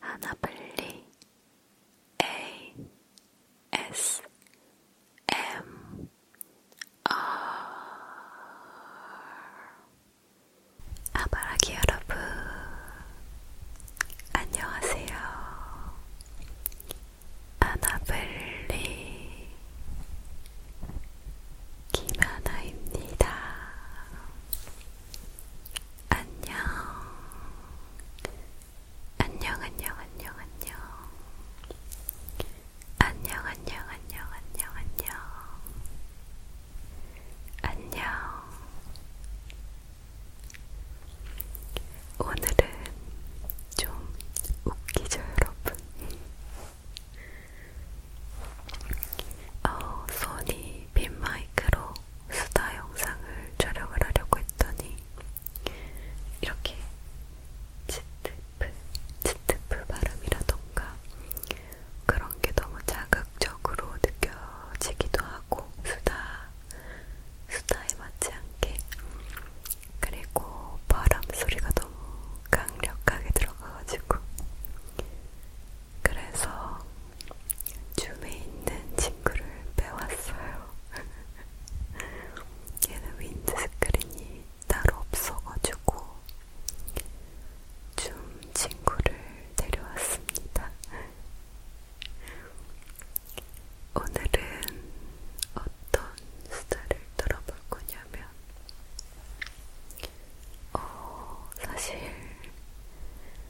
하나블리 ASMR 아바라기 여러분 안녕하세요. 아나블리 김하나입니다. 안녕. 안녕, 안녕, 안녕, 안녕. 안녕, 안녕, 안녕, 안녕, 안녕. 안녕. 오늘은 좀 웃기죠, 여러분? 어, 손이 빈마이크로 수다 영상을 촬영을 하려고 했더니 이렇게 치트프, 치트프 발음이라던가 그런 게 너무 자극적으로 느껴지기도 하고 수다, 수다에 맞지 않게 그리고 바람 소리가 너무 강력하게 들어가가지고 그래서 줌에 있는 친구를 빼왔어요. 얘는 윈드스크린이 따로 없어가지고 줌 친구를 데려왔습니다. 오늘은 어떤 스타를 들어볼 거냐면, 어, 사실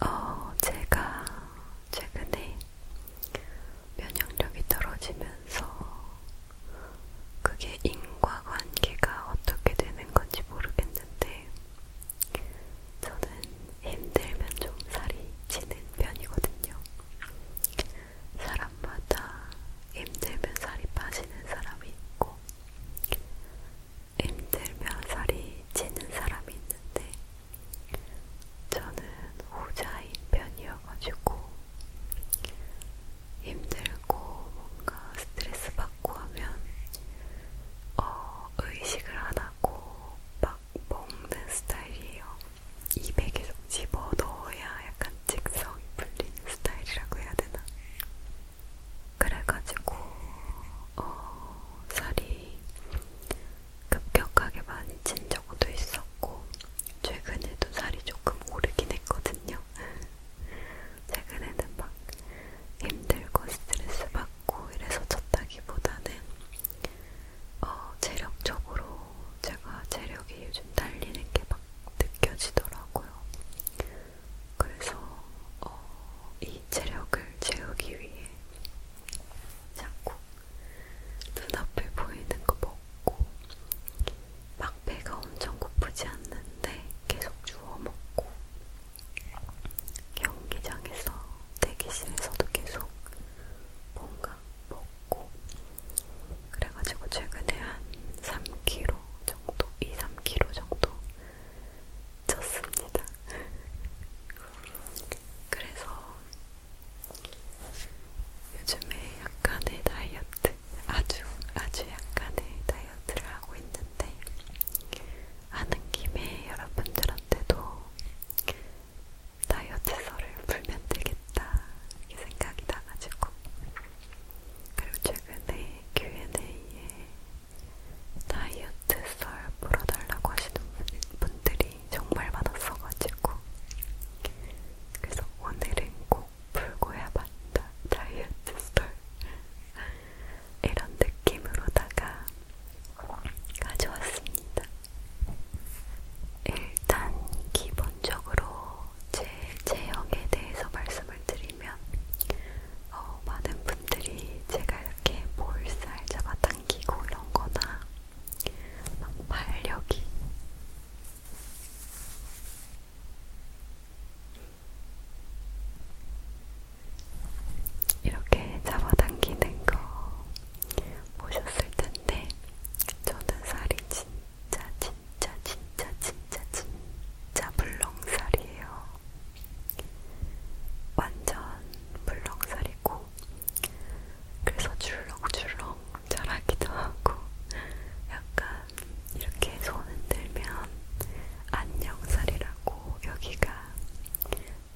어, 제가 최근에 면역력이 떨어지면서 그게 인과관계가 어떻게 되는 건지 모르겠는데 저는 힘들면 좀 살이 찌는 편이거든요. 사람마다 힘들면 살이 빠지는 사람이 있고 힘들며 살이 찌는 사람이 있는데 저는 후자인 편이어가지고 힘들고 뭔가 스트레스 받고 하면 어, 의식을 안 하고 막 먹는 스타일이에요. 입에 계속 집어 넣어야 약간 직성이 풀리는 스타일이라고 해야 되나? 그래가지고 어, 살이 급격하게 많이 찐 적도 있었고 최근에도 살이 조금 오르긴 했거든요. 최근에는 막 힘들고 스트레스 받고 이래서 쪘다기보다는 어, 체력적으로 제가 체력이 요즘 달리는 게 막 느껴지더라고요. 그래서 어, 이 체력을 채우기 위해 자꾸 눈앞에 보이는 거 먹고 막 배가 엄청 고프지 않는데 계속 주워 먹고 경기장에서 대기실에서도 계속 뭔가 먹고 그래가지고 최근에 한 3kg 정도, 2, 3kg 정도 졌습니다. 그래서 요즘에 약간의 다이어트, 아주 아주 약간의 다이어트를 하고 있는데 하는 김에 여러분들한테도 다이어트 썰을 풀면 되겠다 이렇게 생각이 나가지고 그리고 최근에 Q&A에 다이어트 썰 풀어달라고 하시는 분들이 정말 많았어가지고 그래서 오늘은 꼭 풀고 해봤다 다이어트 썰 이런 느낌으로다가 가져왔습니다. 일단 기본적으로 제 체형에 대해서 말씀을 드리면 말씀드리면 어, 많은 분들이 제가 이렇게 볼살 잡아당기고 이런 거나 막 발력이 이렇게 잡아당기는 거 보셨을 텐데 저는 살이 진짜 진짜 진짜 진짜 진짜, 진짜 불렁살이에요. 완전 물렁살이고 그래서 줄렁줄렁 자라기도 하고 약간 이렇게 손 흔들면 안녕살이라고 여기가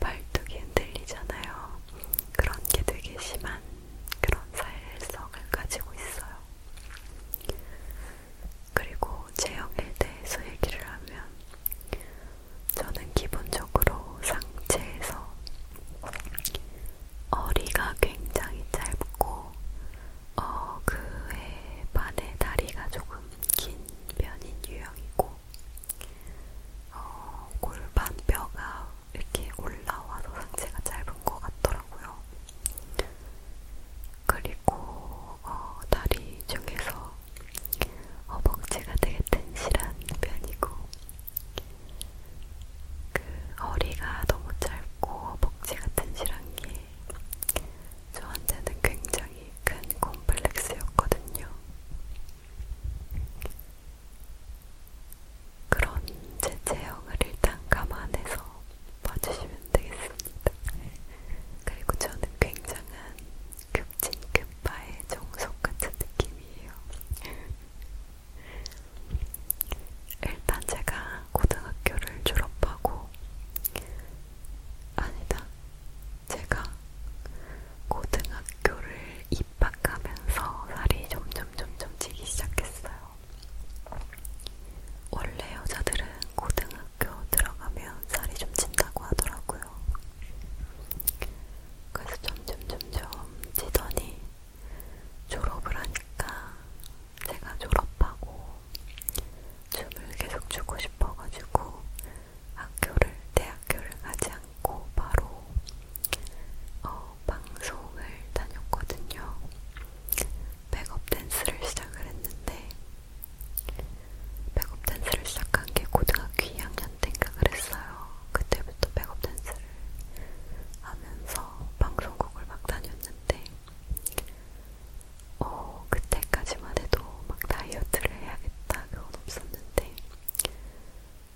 발톱이 흔들리잖아요. 그런 게 되게 심한 그런 살성을 가지고 있어요. 그리고 체형에 대해서 얘기를 하면 저는 기본적으로 상체에서 허리가 굉장히 짧고 어, 그에 반해 다리가 조금 긴 편인 유형이고 어, 골반 뼈가 이렇게 올라와서 상체가 짧은 것 같더라고요. 그리고 어, 다리 중에서 허벅지가 되게 튼실한 편이고 그 허리가 너무 짧고 허벅지가 튼실한 게 저한테는 굉장히 큰 콤플렉스였거든요. 그런 제 체형을 일단 감안해서 봐주시면 되겠습니다. 그리고 저는 굉장한 급진급파의 정석 같은 느낌이에요. 일단 제가 고등학교를 졸업하고 아니다. 제가 고등학교를 입학하면서 살이 점점 점점 찌기 시작했어요. 원래 여자들은 고등학교 대학교 들어가면 살이 좀 찐다고 하더라고요. 그래서 점점 점점 찌더니 졸업을 하니까 제가 졸업하고 춤을 계속 추고 싶어가지고 학교를 대학교를 가지 않고 바로 어, 방송을 다녔거든요. 백업 댄스를 시작을 했는데 백업 댄스를 시작한 게 고등학교 2학년 때인가 그랬어요. 그때부터 백업 댄스를 하면서 방송국을 막 다녔는데, 어, 그때까지만 해도 막 다이어트를 해야겠다 그건 없었는데,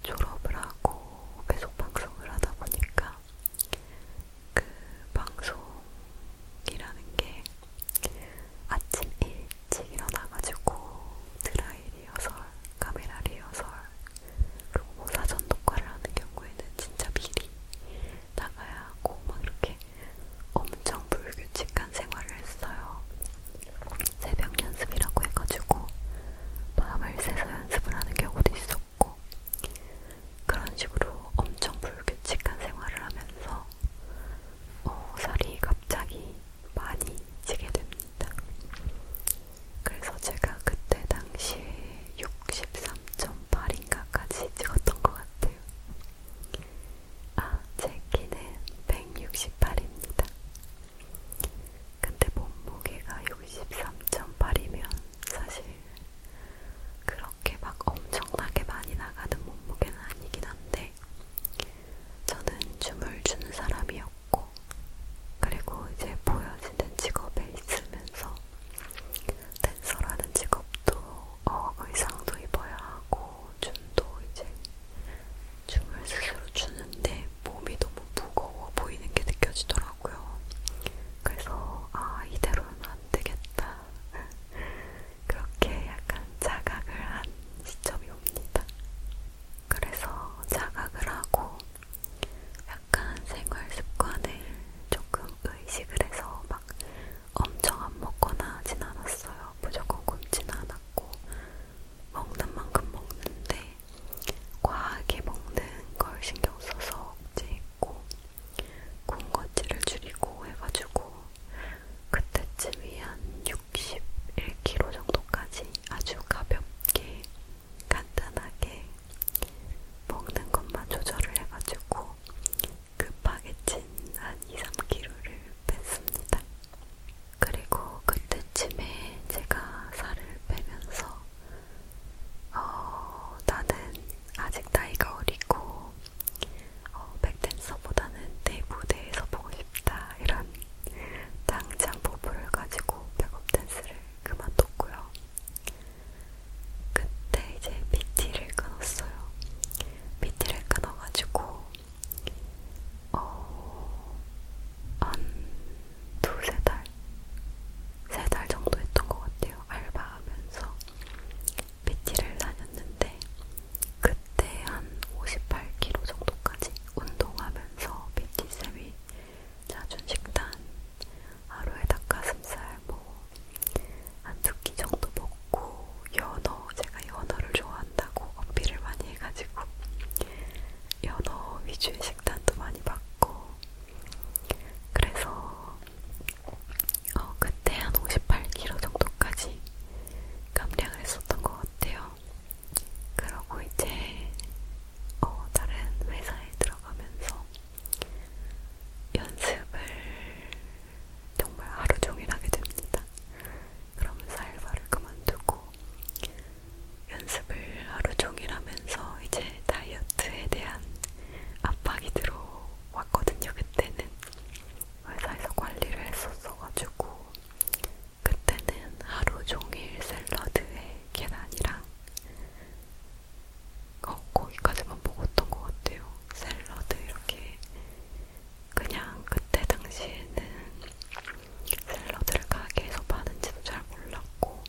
졸업을 하고 계속 방송을 하다 보니까 그 방송이라는 게 아침 일찍 일어나가지고 드라이 리허설, 카메라 리허설, 그리고 뭐 사전 녹화를 하는 경우에는 진짜 미리 나가야 하고 막 이렇게 엄청 불규칙한 생활을 했어요. 새벽 연습이라고 해가지고 밤을 새서 연습을 하는 경우도 있었고 그런 식으로 엄청 불규칙한 생활을 하면서 어, 살이 갑자기 많이 지게 됩니다. 그래서 제가 그때 당시에 63.8인가까지 찍었던 것 같아요. 아, 제 키는 168입니다. 근데 몸무게가 63.8이면 사실 그렇게 막 엄청나게 많이 나가는 몸무게는 아니긴 한데 저는 춤을 추는 사람이었고, 그리고 이제 보여지는 직업에 있으면서 댄서라는 직업도 어, 의상도 입어야 하고, 춤도 이제 춤을 스스로 추는데 몸이 너무 무거워 보이는 게 느껴지더라고요. 그래서 아 이대로는 안 되겠다. 그렇게 약간 자각을 한 시점이 옵니다. 그래서 자각을 하고 약간 생활 습관을 조금 의식을 해서 막 엄청 안 먹거나 하진 않았어요. 무조건 굶진 않았고 먹는 만큼 먹는데 과하게 먹는 걸 신경 써서 억제했고 군것질을 줄이고 해가지고 그때쯤이 한 61kg 정도까지 아주 가볍게 간단하게 먹는 것만 조절을 해가지고 급하게 찐한 2-3kg를 뺐습니다. 그리고 그때쯤에 제가 살을 빼면서 어, 나는 아직 나이가 어리고 어, 백댄서보다는 내 무대에서 보고 싶다 이런 당장 포부를 가지고 백업댄스를 그만뒀고요. 그때 이제 PT를 끊었어요. PT를 끊어가지고 어, 한두세 달, 세 달 정도 했던 것 같아요. 알바하면서 PT를 다녔는데 그때 한 58kg 정도까지 운동하면서 PT쌤이 자준 식단, 하루에 닭가슴살 뭐 한 두 끼 정도 먹고 연어, 제가 연어를 좋아한다고 어필을 많이 해가지고 연어 위주의 식단도 많이 받고 그래서 어, 그때 한 58kg 정도까지 감량을 했었던 것 같아요. 그러고 이제 어, 다른 회사에 들어가면서 연습을 정말 하루 종일 하게 됩니다. 그러면서 알바를 그만두고 연습을 하루 종일 하면서 이제 다이어트에 대한 압박이 들어왔거든요. 그때는 회사에서 관리를 했었어가지고 그때는 하루 종일 샐러드에 계란이랑 어, 고기까지만 먹었던 것 같아요. 샐러드 이렇게 그냥 그때 당시에는 샐러드를 가게에서 파는지도 잘 몰랐고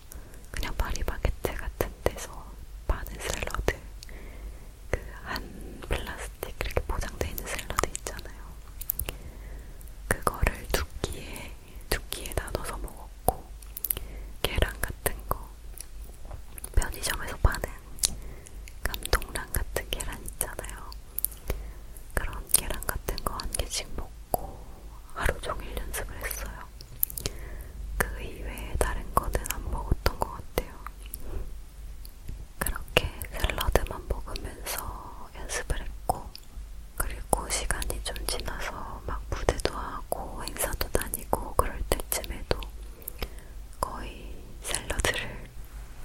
그냥 파리바게트 같은 데서 파는 샐러드 그 한 플라스틱 이렇게 포장되어 있는 샐러드 있잖아요. 그거를 두 끼에 두 끼에 나눠서 먹었고 계란 같은 거 편의점에서 파는 감동란 같은 계란 있잖아요. 그런 계란 같은 거 한 개씩 먹고 하루 종일 연습을 했어요. 그 이외에 다른 거는 안 먹었던 것 같아요. 그렇게 샐러드만 먹으면서 연습을 했고, 그리고 시간이 좀 지나서 막 무대도 하고 행사도 다니고 그럴 때쯤에도 거의 샐러드를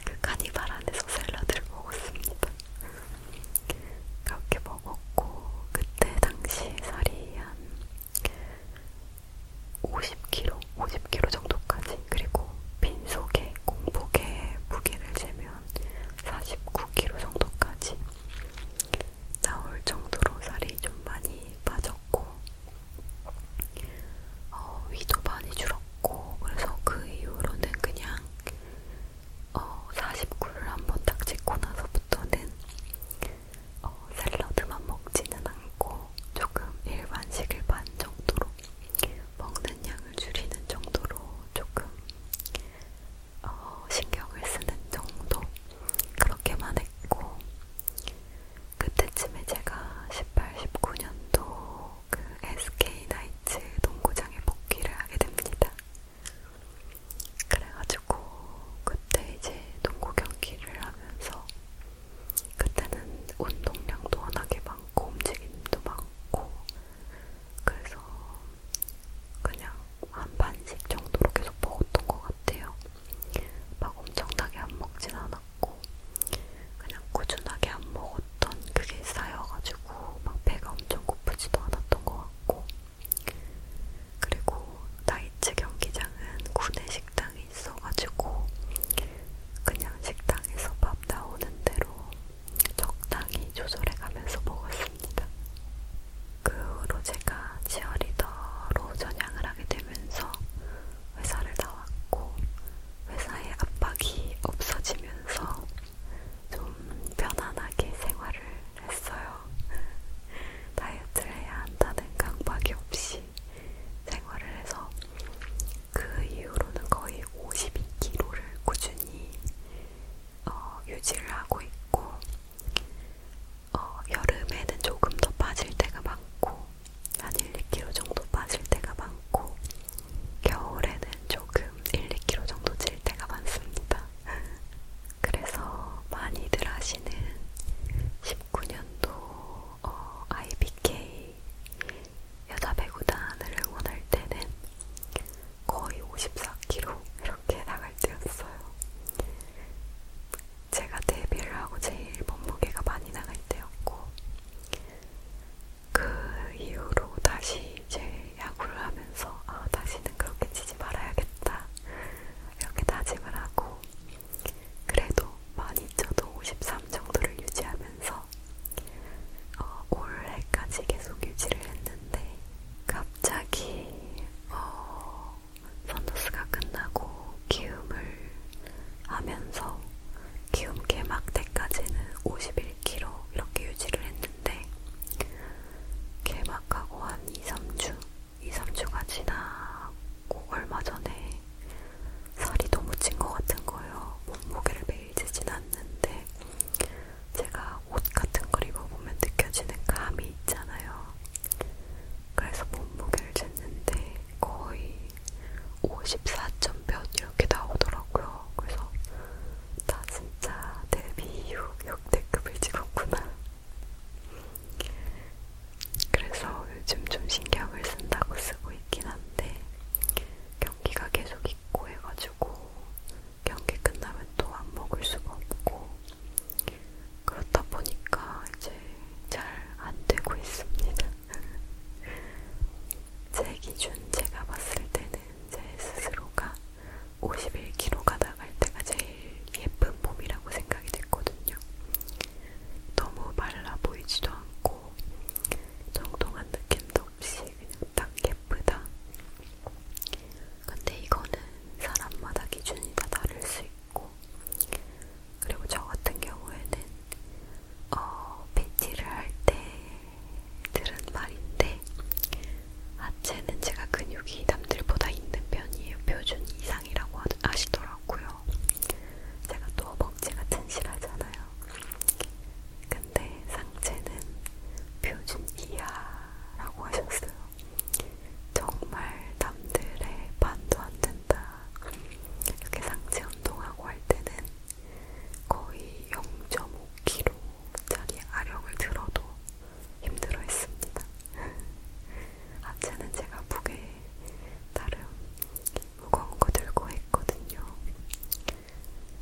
그 카니발 안에서 샐러드를 먹었습니다. 그렇게 먹었고 그때 당시 살이 한 50kg, 50kg 정도까지 그리고 빈속에 공복에 무게를 재면 49kg 정도까지 나올 정도로 살이 좀 많이 빠졌고 어, 위도 많이 줄었고 그래서 그 이후로는 그냥 어, 49를 한번딱 찍고 나서부터는 어, 샐러드만 먹지는 않고 조금 일반식을 반 정도로 먹는 양을 줄이는 정도로 조금 어, 신경을 쓰는 정도 그렇게만 했고 그때쯤에 제가 18, 19년도 그 SK 나이츠 농구장에 복귀를 하게 됩니다. 그래가지고 그때 이제 농구 경기를 하면서 그때는 운동량도 워낙에 많고 움직임도 많고 그래서 그냥 한 반씩 정도로 계속 먹었던 것 같아요. 막 엄청나게 안 먹진 않았고 그냥 꾸준하게 안 먹었던 그게 쌓여가지고 막 배가 엄청 고프지도 않았던 것 같고 그리고 나이츠 경기장은 군내 식당이 있어가지고 그냥 식당에서 밥 나오는 대로 적당히 조절해가면서 먹었습니다. 그 후로 제가 치어리더로 전향을 하게 되면서 회사를 나왔고 회사의 압박이 없어지면서 좀 편안하게 생활을 했어요. 다이어트를 해야 한다는 강박이 없이 생활을 해서 그 이후로는 거의 52kg를 꾸준히 어, 유지를 하고 있고 어, 여름에는 조금 더 빠질 때가 많고 한 1, 2kg 정도 빠질 때가 많고 겨울에는 조금 1, 2kg 정도 찔 때가 많습니다. 그래서 많이들 하시는 19년도 어, IBK 여자 배구단을 응원할 때는 거의 54kg 이렇게 나갈 때였어요. 제가 데뷔를 하고 제일 몸무게가 많이 나갈 때였고 그 이후로 다시 이제 야구를 하면서 아 다시는 그렇게 치지 말아야겠다 이렇게 다짐을 하고 그래도 많이 쪄도 53 정도를 유지하면서 어, 올해까지 계속 유지를 했는데 갑자기 어, 선더스가 끝나고 키움을 하면서 키움 개막 때까지는 51kg 이렇게 유지를 했는데 개막하고 한 2, 3주 2, 3주가 지나고 얼마 전에 살이 너무 찐것 같은 거예요. 몸무게를 베이지진 네, 않는데 제가 옷 같은 걸 입어보면 느껴지는 감이 있잖아요. 그래서 몸무게를 쟀는데 거의 54점 몇 이렇게 나오더라고요. 그래서 나 진짜 데뷔 이후 역대급을 찍었구나. 그래서 요즘 좀 신경을 쓴다고 쓰고 있긴 한데 경기가 계속 있고 해가지고 경기 끝나면 또 안 먹을 수가 없고 그렇다 보니까 이제 잘 안 되고 있습니다. 제 기준 제가 봤을 때는 제 스스로가 51kg가 나갈 때가 제일 예쁜 몸이라고 생각이 됐거든요. 너무 말라 보이지도 않고 정통한 느낌도 조금씩 딱 예쁘다. 근데 이거는 사람마다 기준이 다 다를 수 있고, 그리고 저 같은 경우에는 어, PT를 할 때 들은 말인데, 하체는 제가 근육이 남들보다 있는 편이에요. 표준 이상이라고 하시더라고요. 제가 또 먹지가 튼실하잖아요. 근데 상체는 표준 이하라고 하셨어요. 정말 남들의 반도 안 된다. 이렇게 상체 운동하고 할 때는 거의 0.5kg짜리 아령을 들어도 힘들어 했습니다. 하체는 제가 무게 나름 무거운 거 들고 했거든요.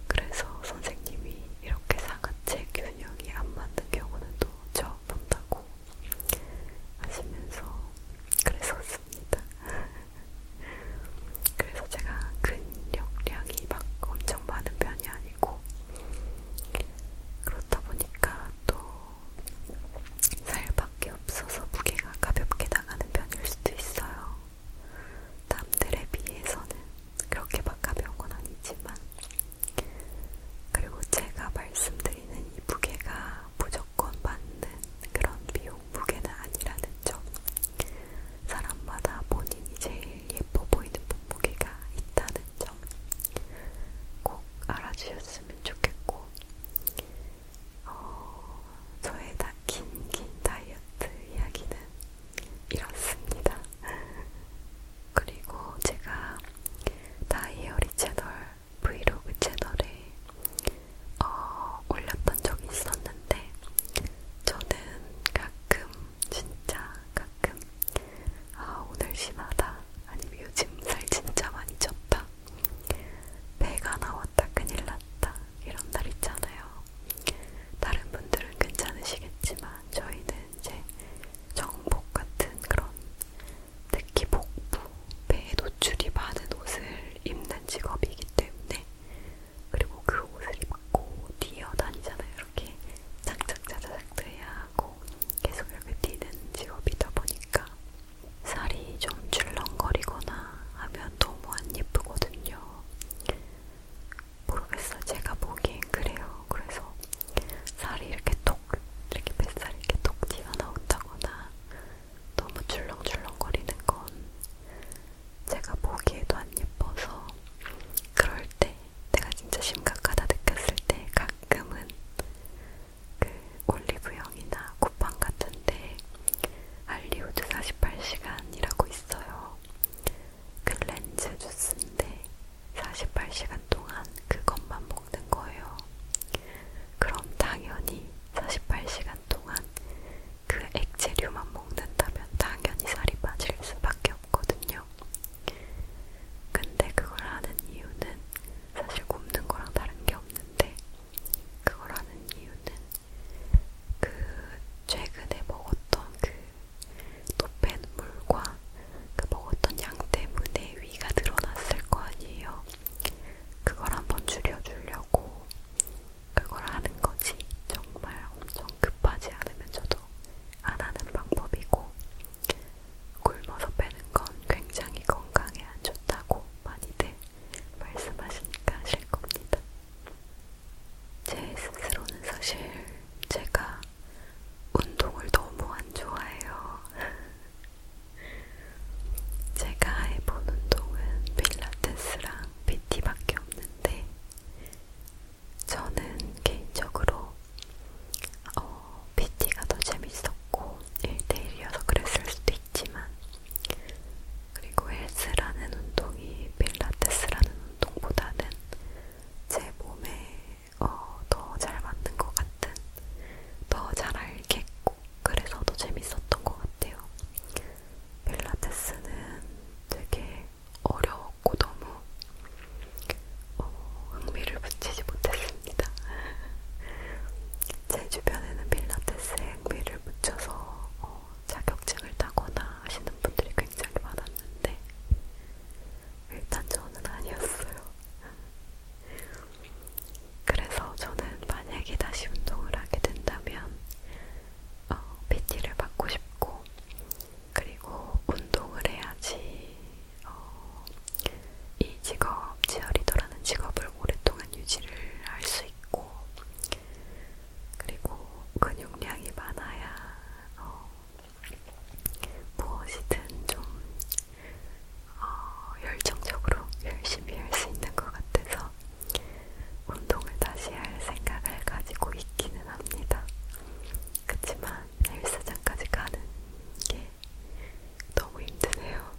그래서 선생님이 이렇게 사각체 균형이 안 맞는 경우는 또 처음 본다고 하시면서 그랬었습니다. 그래서 제가 근력량이 막 엄청 많은 편이 아니고 그렇다 보니까 또 살밖에 없어서 무게가 가볍게 나가는 편일 수도 있어요. 남들에 비해서는 그렇게 막 가벼운 건 아니지만 그리고 제가 말씀드리는 이 무게가 무조건 맞는 그런 미용 무게는 아니라는 점 사람마다 본인이 제일 예뻐 보이는 몸무게가 있다는 점 꼭 알아주셨으면 좋겠고 어, 저의 다 긴 긴 다이어트 이야기는 이렇습니다. 그리고 제가 다이어리 채널 브이로그 채널에 어, 올렸던 적이 있었는데 저는 가끔 진짜 가끔 아 오늘 심하다 아니면 요즘 살 진짜 많이 쪘다 배가 나왔다 큰일 났다 이런 날 있잖아요 다른 분들은 괜찮으시겠지만 저희는 이제 정복 같은 그런 특히 복부, 배에 노출이 많은 옷을 입는 직업이기 때문에 그리고 그 옷을 입고 뛰어다니잖아요. 이렇게 짝짝짝짝 해야 하고 계속 이렇게 뛰는 직업이다 보니까 살이 좀 줄렁거리거나 하면 너무 안 예쁘거든요. 모르겠어요. 제가 보기엔 그래요. 그래서 살이 이렇게 톡, 이렇게 뱃살이 이렇게 톡 튀어나온다거나 너무 줄렁줄렁거리는 건 제가 보기에도 안 예뻐서 그럴 때 내가 진짜 심각하다 느꼈을 때 가끔은 그 올리브영이나 쿠팡 같은데 알리오드 48시간이라고 있어요. 클렌즈 그 주스인데 48시간 동안 그것만 먹는 거예요. 그럼 당연히 48시간 동안 그 액체류만 먹는다면 당연히 살이 빠질 수밖에 없거든요. 근데 그걸 하는 이유는 사실 굶는 거랑 다른 게 없는데 그걸 하는 이유는 그 최근에 먹었던 그 높은 물과 그 먹었던 양 때문에 위가 늘어났을 거 아니에요. 그걸 한번 줄여주려고 그걸 하는 거지. 정말 엄청 급하지 않으면서도 안 하는 방법이고, 굶어서 빼는 건 굉장히 건강에 안 좋다고 많이들 말씀하시니까 아실 겁니다. 제 스스로는 사실 제가 운동을 너무 안 좋아해요. 제가 해본 운동은 필라테스랑 PT밖에 없는데, 저는 개인적으로 어, PT가 더 재밌었고 1대1이어서 그랬을 수도 있지만 그리고 헬스라는 운동이 필라테스라는 운동보다는 제 몸에 어, 더잘 맞는 것 같은, 더 잘 알겠고, 그래서 더 재밌었던 것 같아요. 필라테스는 되게 어려웠고 너무 어, 흥미를 붙이지 못했습니다. 제 주변에는 필라테스에 흥미를 붙여서 어, 자격증을 따거나 하시는 분들이 굉장히 많았는데 일단 저는 아니었어요. 그래서 저는 만약에 다시 운동을 하게 된다면 어, PT를 받고 싶고 그리고 운동을 해야지 어, 이 직업, 치어리더라는 직업을 오랫동안 유지를 할 수 있고 그리고 근육량이 많아야 어, 무엇이든 좀 어, 열정적으로 열심히 할 수 있는 것 같아서 운동을 다시 할 생각을 가지고 있기는 합니다. 그렇지만 헬스장까지 가는 게 너무 힘드네요.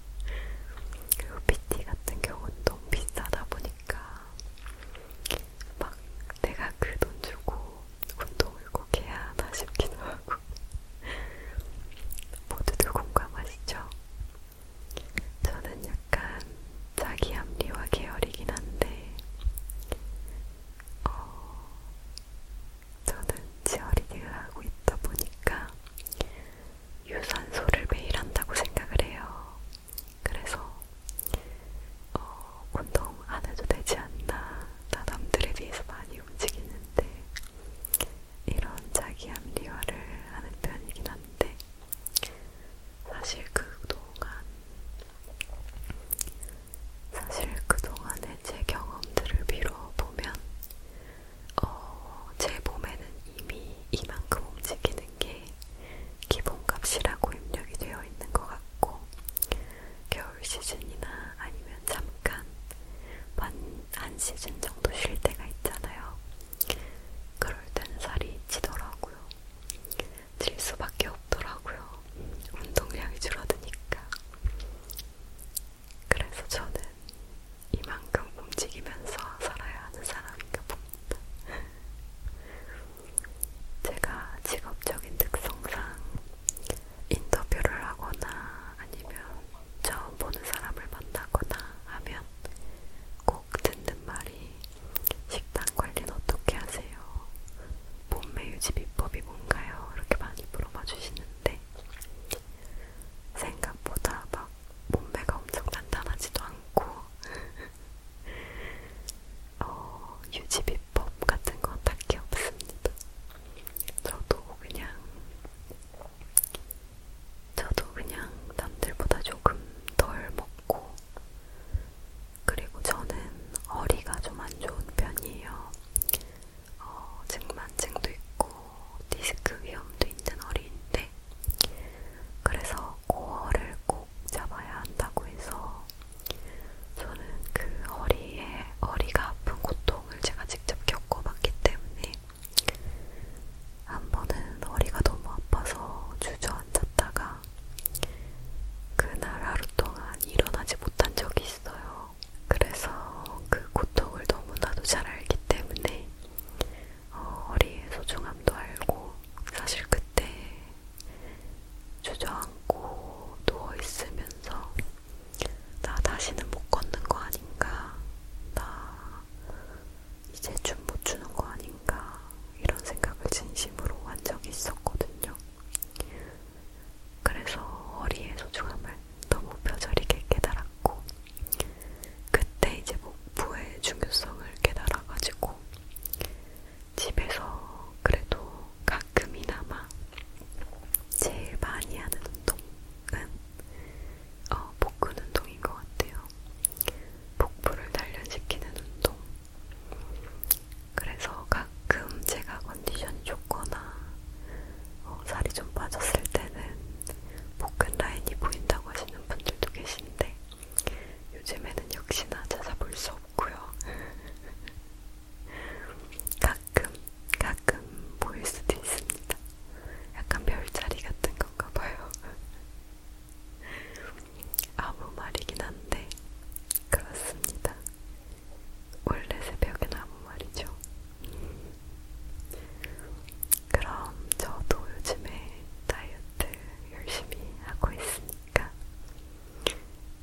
그리고 PT 같은 경우는 너무 비싸다 보니까 막 내가 그 돈 주고 운동을 꼭 해야 하나 싶기도 하고 모두들 공감하시죠? 저는 약간 자기 합리화 계열이긴 한데 어, 저는 치어리딩을 하고 있다 보니까 유산소를 매일 한다고 생각을 해요. 그래서 어, 운동 안 해도 되지 않나. 나 남들에 비해서 많이 움직이는데 이런 자기 합리화를 하는 편이긴 한데 사실 그동안 사실 그동안의 제 경험들을 미뤄보면 어, 제 몸에는 이미 이만큼 움직이는 게 기본값이라고 입력이 되어 있는 것 같고 겨울 시즌이나 아니면 잠깐 한 시즌 정도 쉴 때가 있잖아요. 그럴 땐 살이 찌더라고요. 질 수밖에 없더라고요. 운동량이 줄어드니까. 그래서 저는 이만큼 움직이면서 살아야 하는 사람인가 봅니다. 제가 직업적인 특성상 인터뷰를 하거나 아니면 처음 보는 사람을 만나거나 하면 꼭 듣는 말이 식단 관리는 어떻게 하세요? 몸매 유지 비법이 뭔가요? 이렇게 많이 물어봐 주시는데 생각보다 막 몸매가 엄청 단단하지도 않고 어, 유지 비법 같은 건 딱히 없습니다. 저도 그냥 저도 그냥 남들보다 조금 덜 먹고 그리고 저는 어리가 좀 안 좋은 편이에요. 어, 증만증도 있고 디스크 위험도 있는 어리인데 그래서 코어를 꼭 잡아야 한다고 해서 저는 그 허리에 허리가 아픈 고통을 제가 직접 겪어봤기 때문에 한 번은 허리가 너무 아파서 주저앉았다가 그날 하루 동안 일어나지 못한 적이 있어요. 그래서 그 고통을 너무나도 잘 알기 때문에 어, 허리의 소중함도 알고 사실 그때 주저앉고 누워있으면서 나 다시는 못 걷는 거 아닌가, 나 이제 춤 못 추는 거 아닌가, 이런 생각을 진심으로 한 적이 있었거든요. 그래서 허리의 소중함을 너무 뼈저리게 깨달았고, 그때 이제 목부의 중요성을 깨달아가지고, 집에서 그래도 가끔이나마 제일 많이 하는 운동은 어, 복근 운동인 것 같아요. 복부를 단련시키는 운동. 그래서 가끔 제가 컨디션이 좋거나 어, 살이 좀 빠졌을 때는 복근 라인이 보인다고 하시는 분들도 계신데 요즘에는 역시나 찾아볼 수 없는 없고요. 가끔, 가끔 보일 수도 있습니다. 약간 별자리 같은 건가 봐요. 아무 말이긴 한데, 그렇습니다. 원래 새벽엔 아무 말이죠. 그럼 저도 요즘에 다이어트 열심히 하고 있습니다. 테니까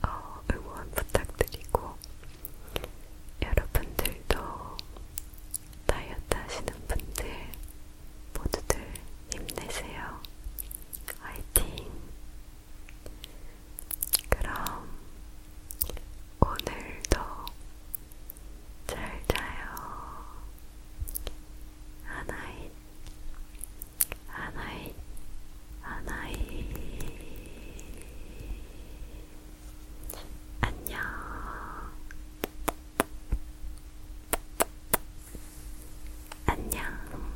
어, 응원 부탁드리고 여러분들도 다이어트 하시는 분들 모두들 힘내세요. 화이팅! 그럼 오늘도 잘 자요. 하나이 하나이, 하나이. 안녕. 안녕.